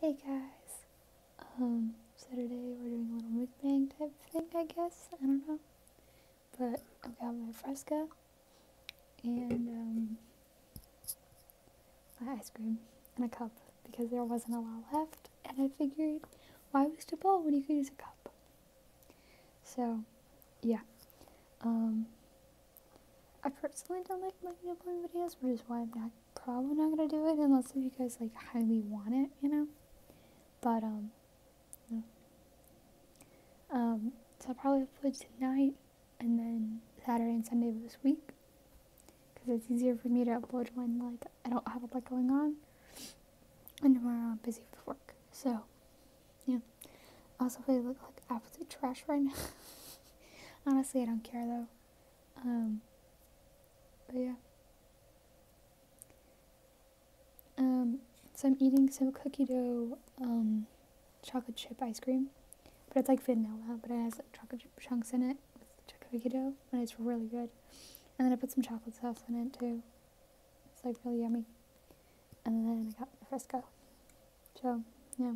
Hey guys, um, Saturday we're doing a little mukbang type thing, I guess, I don't know, but i got my Fresca, and, um, my ice cream, and a cup, because there wasn't a lot left, and I figured, why waste a bowl when you could use a cup? So, yeah, um, I personally don't like making uploading videos, which is why I'm probably not gonna do it unless if you guys like highly want it, you know. But um, um, so I'll probably upload tonight and then Saturday and Sunday of this week because it's easier for me to upload when like I don't have a lot going on, and tomorrow I'm busy with work. So, yeah. Also, I look like absolute trash right now. Honestly, I don't care though. Um, but yeah. Um, so I'm eating some cookie dough um, chocolate chip ice cream, but it's like vanilla, but it has like, chocolate chunks in it with cookie dough, and it's really good. And then I put some chocolate sauce in it too. It's like really yummy. And then I got Frisco. So, yeah.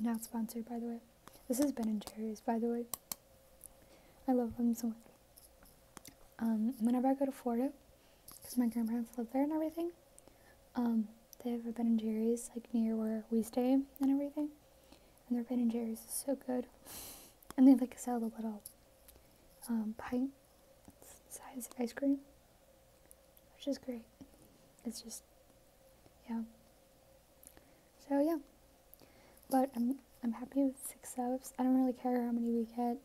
Not sponsored, by the way. This is Ben and Jerry's, by the way. I love them so much. Um, whenever I go to Florida, because my grandparents live there and everything, um, they have a Ben and Jerry's like near where we stay and everything, and their Ben and Jerry's is so good, and they like sell the little um, pint size ice cream, which is great. It's just, yeah. So yeah, but I'm I'm happy with six subs. I don't really care how many we get.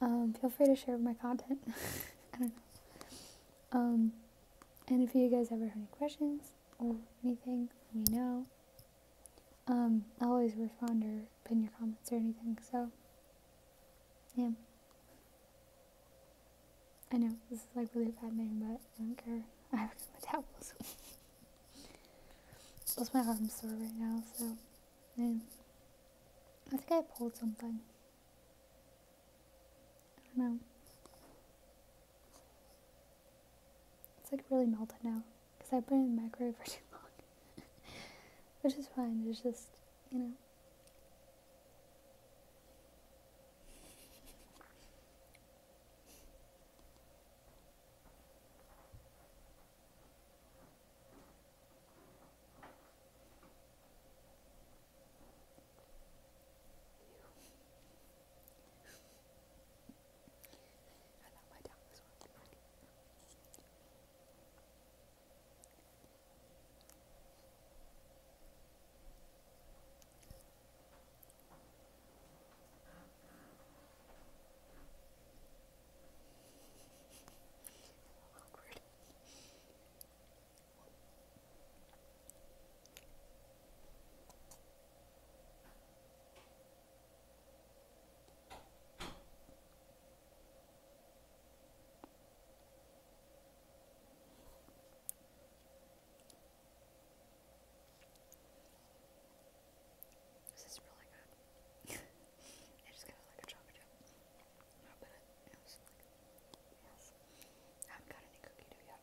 Um, feel free to share my content. I don't know. Um, and if you guys ever have any questions or anything, let me know. Um, I always respond or pin your comments or anything, so yeah. I know this is like really a bad name, but I don't care. I have a metabolism. That's my arm sore right now, so yeah. I think I pulled something. I don't know. It's like really melted now because I I've been in the microwave for too long, which is fine. It's just you know. I love my tongue, this one's pretty. Awkward. This is really good. I just got like a chocolate chip. No, but yes. I haven't got any cookie dough yet.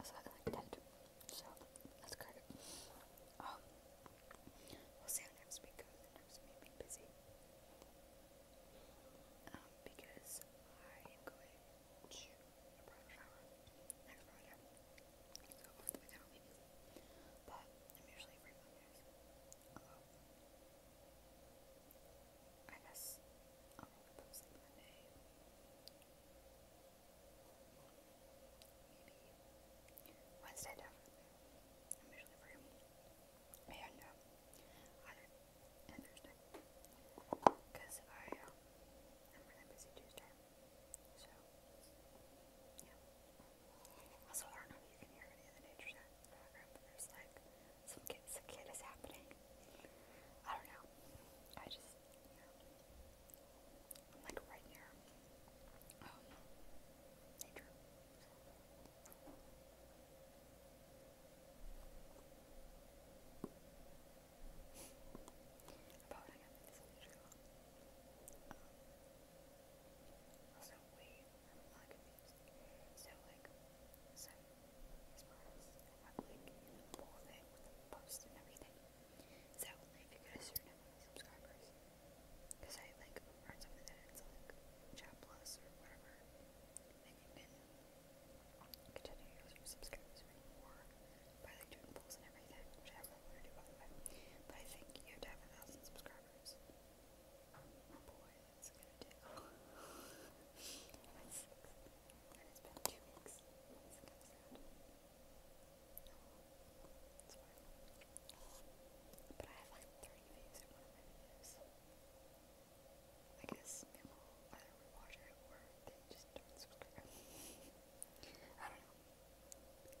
as I like So that's great. Um, we'll see how next week goes. Next week being busy. Um, because I am going to a private shower next Friday. So most of the weekend be busy. But I'm usually free Mondays. Um, I guess I'll post like Monday. Wednesday, I'm usually free. And Thursday. Because I, am um, really busy Tuesday. So, I don't know if you can hear any of the nature sounds there's like some kid, some kid is happening. I don't know. I just i like right near um, nature. About I this nature. Um, also, wait, I'm So, like, so, as far as I like, you everything. So, if you guys are not subscribers, because I like heard something that it's like chat plus or whatever, then you can continue your subscribers for more by like doing polls and everything, which I really want to do by But I think you have a thousand subscribers. Oh, boy, that's gonna do. and it's been two weeks since it comes out. It's fine. But I have like 30 views on one of my videos. I guess people either would watch it or they just don't subscribe. I don't know. I don't know.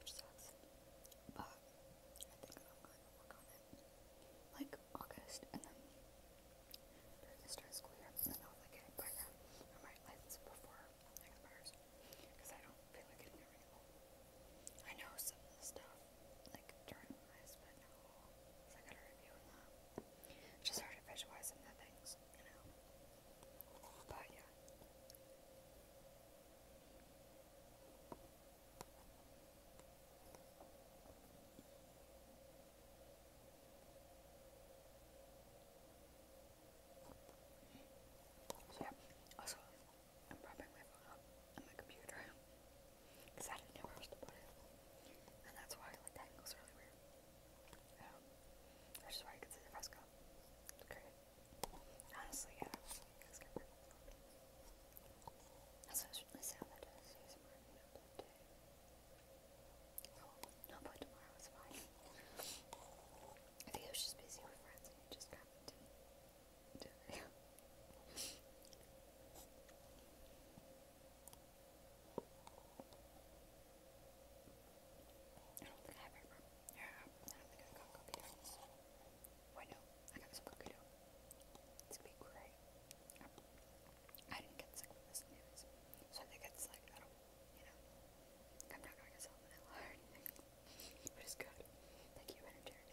which sucks. But I think I'm going to work on it like August and then start school year. I'll like get it license before it expires because I don't feel like getting it renewable. I know some of the stuff like during this, but no, because I got a review on that. just hard to the things, you know. But so yeah, I'm propping my phone up on my computer because I didn't know And that's why like that angle's really weird. Um, that's just why I can fresco. It's great. Honestly, yeah. That's what really sound that does. Use more no blood day. Cool. No blood tomorrow is fine. I think I was just busy with friends and it just happened to do a video. I don't think I have paper. Yeah, I don't think I've got cookie dough. Wait, no, I got some cookie dough. It's gonna be great. I didn't get sick with this So I think it's like, you know, I'm not gonna get anything. but it's good. Thank you, Energix.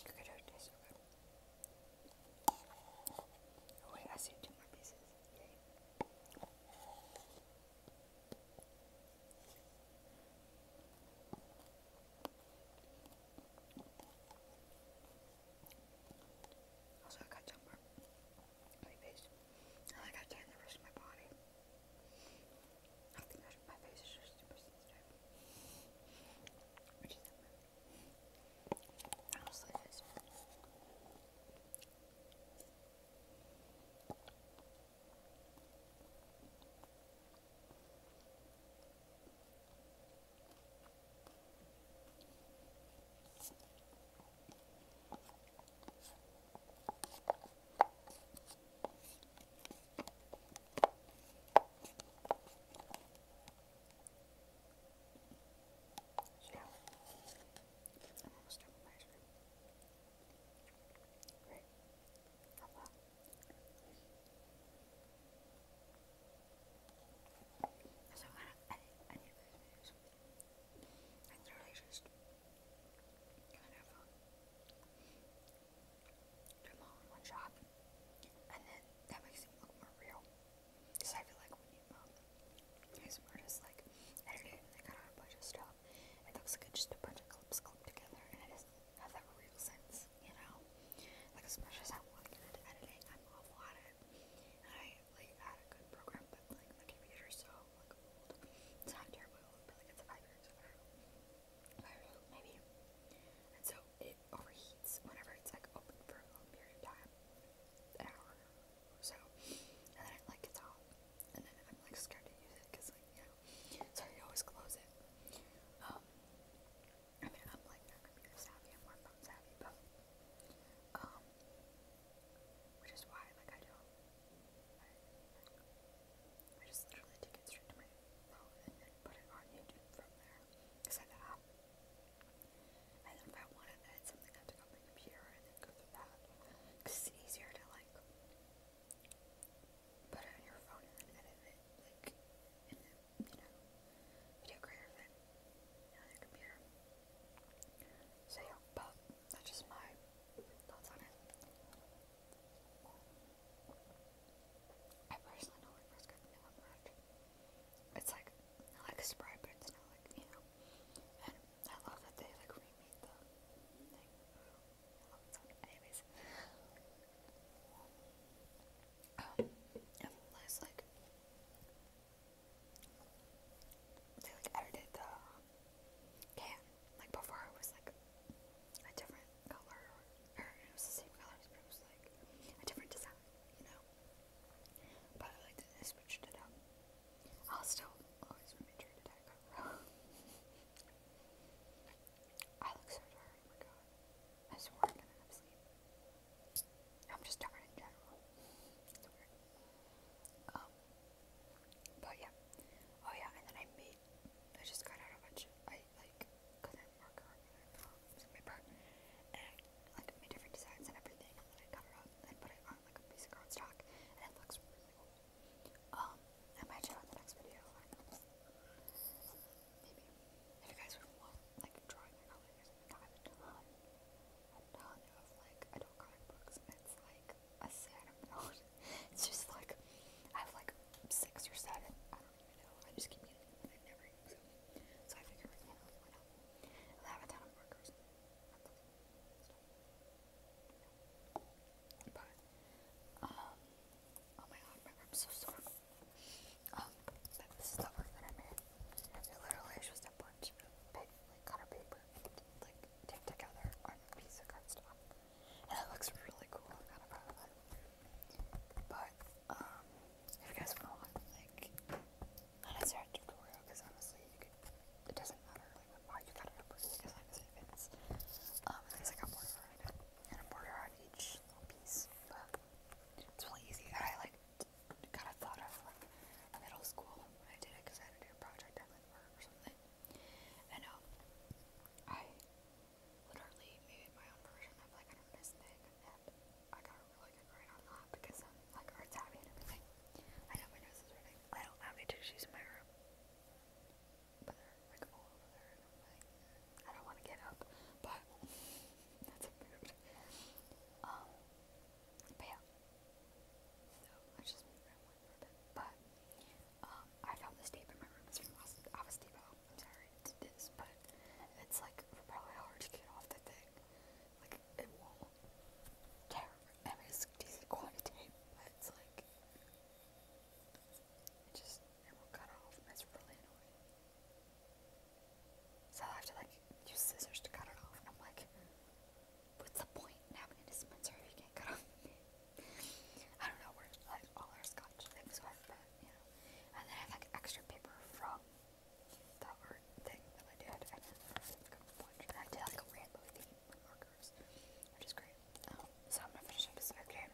Okay, do wait, I see two more pieces. Also, I got jumper my face. I like tan the rest of my body. I think my face is just super sensitive. Which is honestly it is. So, I'm almost done with ice cream. Great. How about? So I, I, I need to do this. It's really just kind of do them all in one shot, and then that makes it look more real. Because I feel like when you are just like edited and they cut out a bunch of stuff, it looks like just a bunch of clips clipped together, and it doesn't have that real sense, you know. Like as much as I editing, I'm awful at like had a good program, but like my computer's so like old. It's not terribly like it's five years old, five years old maybe. And so it overheats whenever it's like open for a long period of time, an hour so, and then like gets hot, and then I'm like scared to use it because like you know, so I always close it. Um, I mean I'm like not computer savvy, I'm more phone savvy, but um, which is why, like, I don't. I, just literally take it straight to my phone and then put it on YouTube from there. Because I have And then if I want something, I have to go on my and go through that. it's easier to, like, put it on your phone and then edit it. Like, in the, you know, video creator thing on so yeah, but that's just my thoughts on it. I personally don't like Fresca vanilla much. It's like like a Sprite, but it's not like you know. And I love that they like remade the thing. I it. Anyways, um, like they like edited the can. Like before it was like a different color or, it was the same colors but it was like a different design, you know. But like they switched it up. I'll still always remember to tag I look so tired, oh god. I swore I'm gonna have sleep. I'm just tired in general. Um, but yeah. Oh yeah, and then I made, I just got out a bunch, I like, couldn't paper, and like made different designs and everything, and then I cut it up and put it on like a piece of cardstock, and it looks really cool. Um, I might show it in the next video. Maybe. If you guys would want, like, drawing or coloring I have a ton, a ton of, like, adult comic books, and it's, like, a sad amount. It's just, like, I have, like, six or seven, I don't even know, I just keep getting them, I never So I figure, you know, why not? have a ton of markers. But, um, oh my god, my room's so sore. Um, oh, but the art that I made. It literally is just a bunch of big, like, cutter paper, like, taped together on a piece of cardstock. And it looks really cool. I'm kind of proud of it. But, um, if you guys want, like, not necessarily a tutorial, because honestly, you could, it doesn't matter, like, how you cut it up, as long as it fits. Um, there's like a border on each piece, but it's really easy. I like kind of thought of from middle school. I did it because I had to do a project or something. And um, I literally made my own version of like an artist and I got a really good grade on that because I'm like arts and everything. I don't have any tissues in my room, but like all over there, I don't want to get up, but that's approved. Um, but yeah. So let's just move around one for a bit. But um, I found this tape in my room. It's from Office Depot. I'm sorry it's this, but it's like probably hard to get off the thing. Like it won't tear. I mean, it's decent quality tape, but it's like it just it will cut off. And it's really annoying. So I have to like use scissors to cut it off. And I'm like, what's the point having a dispenser if you can't cut off? I don't know where like all our scotch things went, but you know. And then I have like extra paper from the art thing that I did, I did like a rainbow theme with markers, which is great. Um, so I'm gonna finish up this game,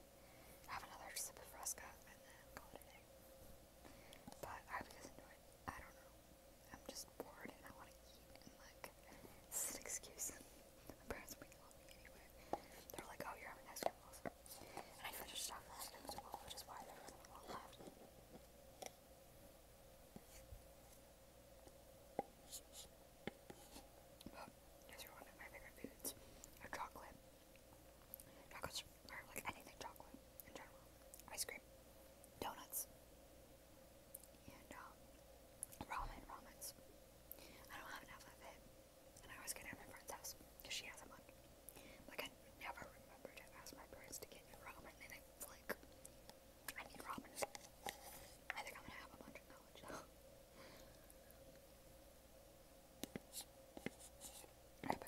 have another sip of Fresca, and then call it a day. But I was into it. I don't I'm just bored and I want to eat and like this is an excuse. My parents make love me anyway. They're like, oh, you're having ice cream also. And I finished off last night as well, which is why there wasn't a lot left. But these are one of my favorite foods. A chocolate Chocolates or like anything chocolate in general. Ice cream, donuts, and um, ramen, I don't have enough of it, and I always get it at my friend's house because she hasn't one. Like I never remember to ask my parents to get ramen, and it's like I need ramen. I think I'm gonna have a bunch of college though. I hope we're kind of like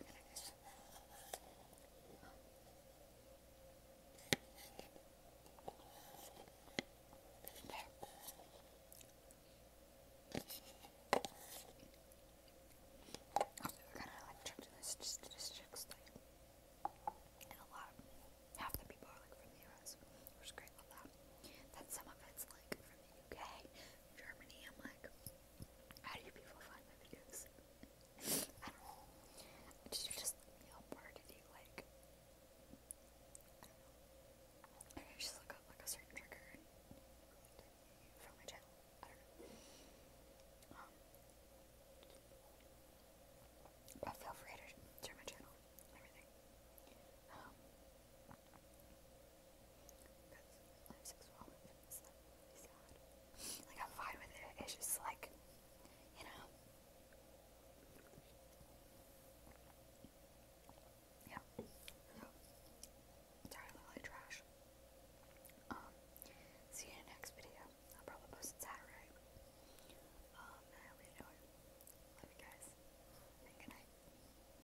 tricked in this statistics thing. And a lot, half the people are like from the US, which is great, love that. some of it's like from the UK, Germany, I'm like, how do you people find my videos? I don't know. Just, just you know, where you like? I just look up like a certain trigger and from my channel. I don't know. but um, feel free to share my channel everything. Um, like I'm fine with it. It's just like, you know. Yeah. sorry, I trash. Um, see you next video. I'll probably post it Saturday. Um, I'll leave Love you guys. And good night.